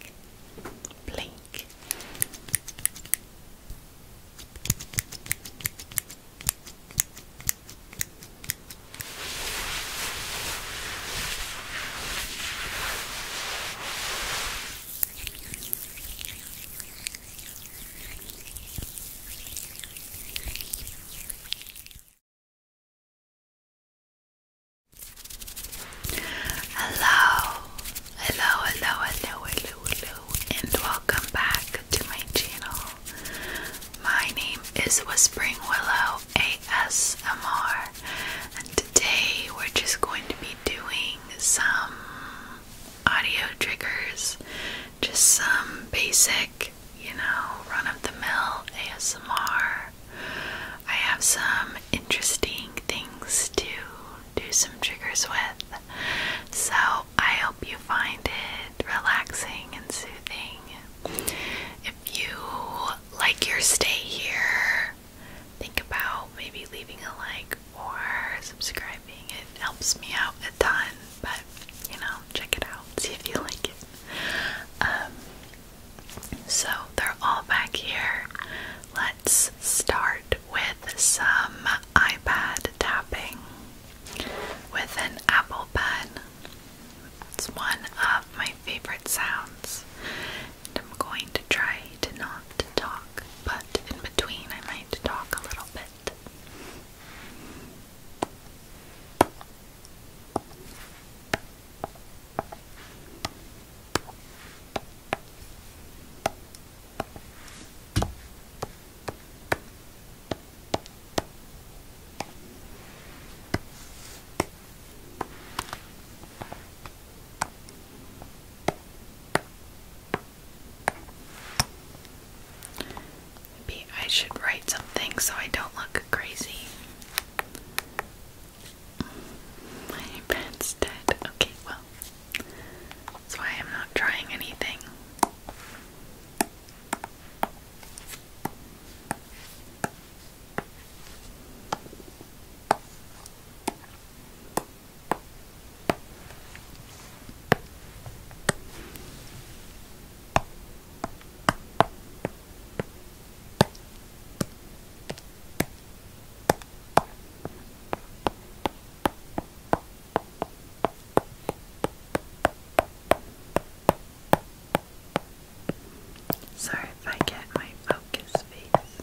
blink, blink. Hello, Hello, hello, hello, hello, hello, and welcome back to my channel. My name is Whispering Willow ASMR, and today we're just going to be doing some audio triggers, just some basic, you know, run of the mill ASMR. I have some interesting things to do some triggers with. So I hope you find it relaxing and soothing. If you like your stay here, think about maybe leaving a like or subscribing. It helps me out a ton, but you know, check it out, see if you like it. Um, so they're all back here. Let let's start with some iPad tapping with an Apple Pen. It's one of my favorite sounds, and I'm going to try to not talk, but in between, I might talk a little bit. Maybe I should write something so I don't look crazy. My bed's dead. Okay, well, that's why I'm not trying anything. Sorry if I get my focus face.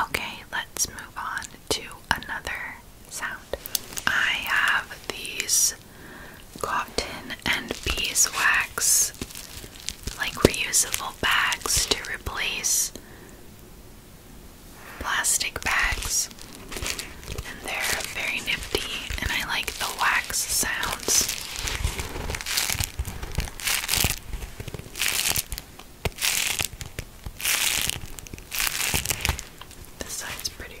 Okay, let's move on to another sound. I have these cotton and beeswax like reusable bags to replace plastic bags, and they're very nifty, and I like the wax sounds. This side's prettier.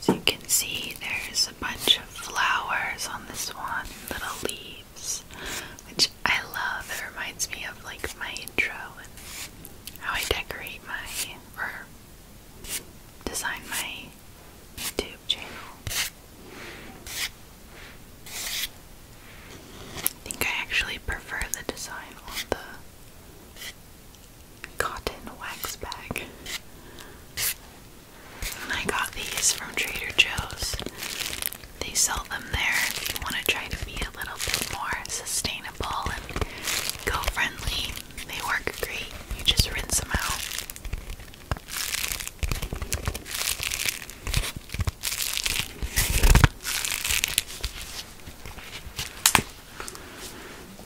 So you can see there's a bunch of flowers on this one, little leaves, which I love. It reminds me of like my intro and how I decorate my or design my YouTube channel. I think I actually prefer the design on the cotton wax bag. I got these from Trader Joe's. They sell them there if you want to try to be a little bit more sustainable and go friendly. They work great. You just rinse them out.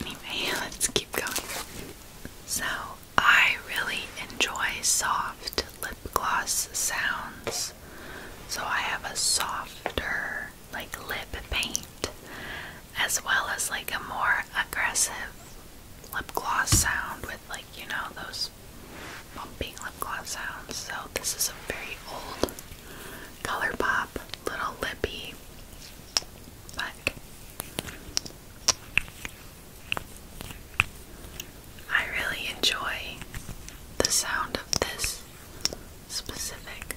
Anyway, let's keep going. So, I really enjoy soft lip gloss sounds. So, I have a softer, like, lip paint, as well as, like, a more aggressive lip gloss sound with, like, you know, those bumping lip gloss sounds. So, this is a very old Colourpop Little Lippy. But I really enjoy the sound of this specific.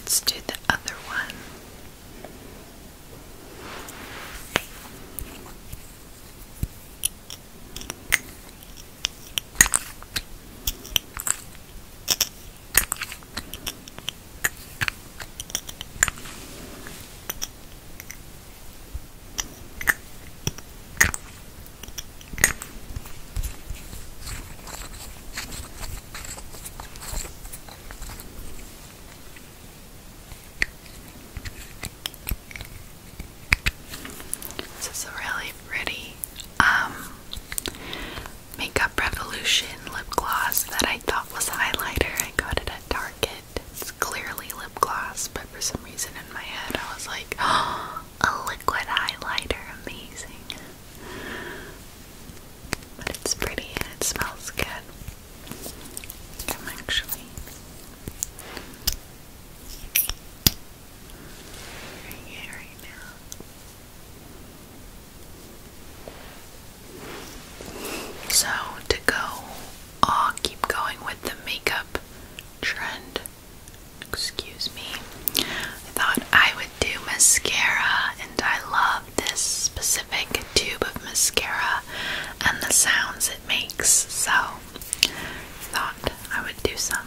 Let's do the other one. This is a really pretty um, Makeup Revolution lip gloss that I thought was highlighter. I got it at Target. It's clearly lip gloss, but for some reason in my head I was like, a liquid highlighter, amazing. But it's pretty and it smells good. I'm actually So to go, i oh, keep going with the makeup trend. Excuse me. I thought I would do mascara, and I love this specific tube of mascara and the sounds it makes, so thought I would do some.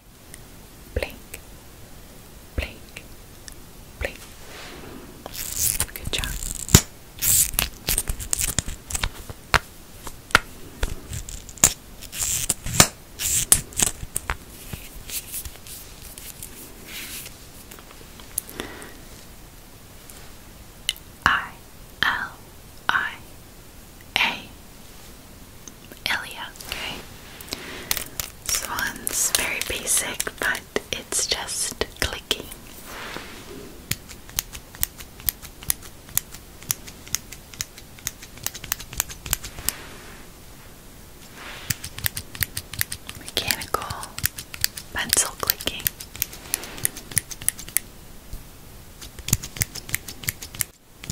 blink, blink, blink. Good job. I L I a. Ilia, okay? This one's very basic, but it's just clicking. Mechanical pencil clicking. This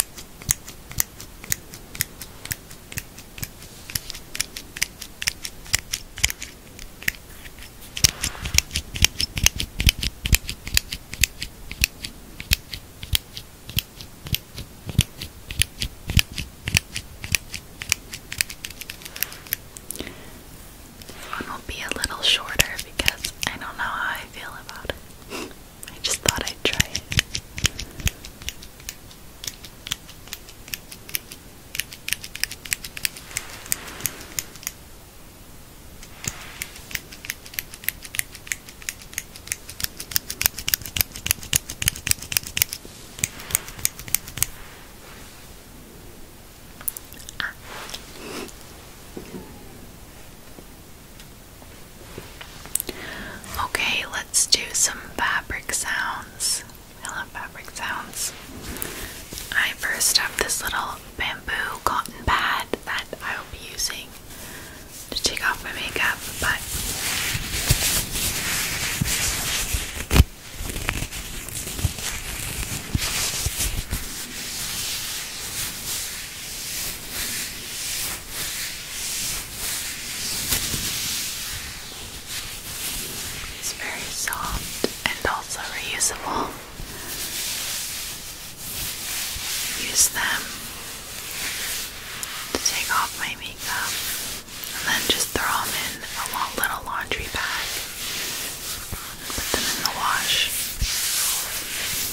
one will be a little shorter because I don't know how I feel about it. I just thought I'd try it. Ah. Okay, let's do some fabric sounds. I love fabric sounds. I first have this little bamboo cotton pad that I will be using to take off my makeup, but it's very soft and also reusable. Use them to take off my makeup and then just throw them in a little laundry bag. Put them in the wash.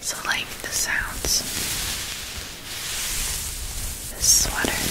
So, like the sounds, the sweater.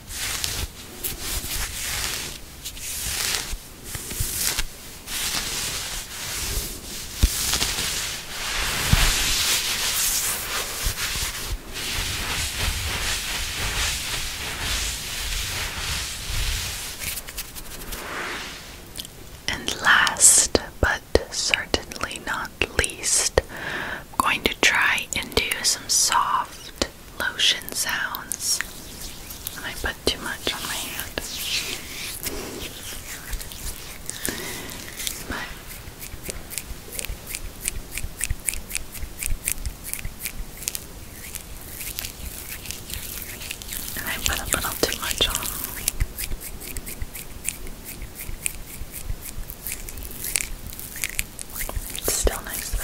And last but certainly not least, I'm going to try and do some soft lotion sounds. I put too much on my hand. But I put a little too much on. It's still nice though.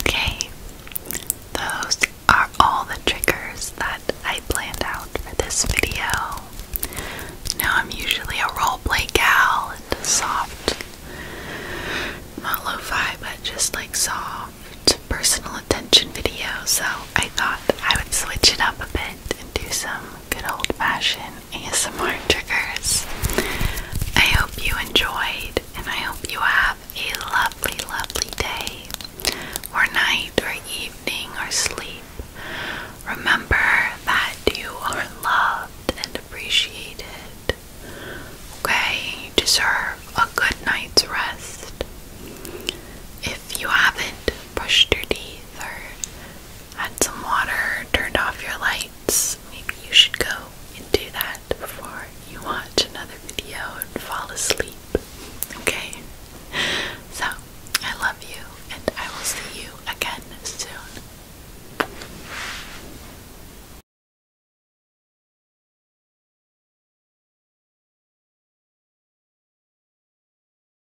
Okay, those are all the triggers that I planned out for this video. Now I'm usually a roleplay gal and soft, not lo-fi, but just like soft personal attention video. So I thought I would switch it up a bit and do some good old fashioned ASMR triggers. I hope you enjoyed and I hope you have a lovely, lovely day, or night, or evening, or sleep. Remember that you are loved and appreciated. Okay, you deserve a good night's rest. If you haven't brushed your teeth or Add some water, turned off your lights. Maybe you should go and do that before you watch another video and fall asleep. Okay? So, I love you, and I will see you again soon.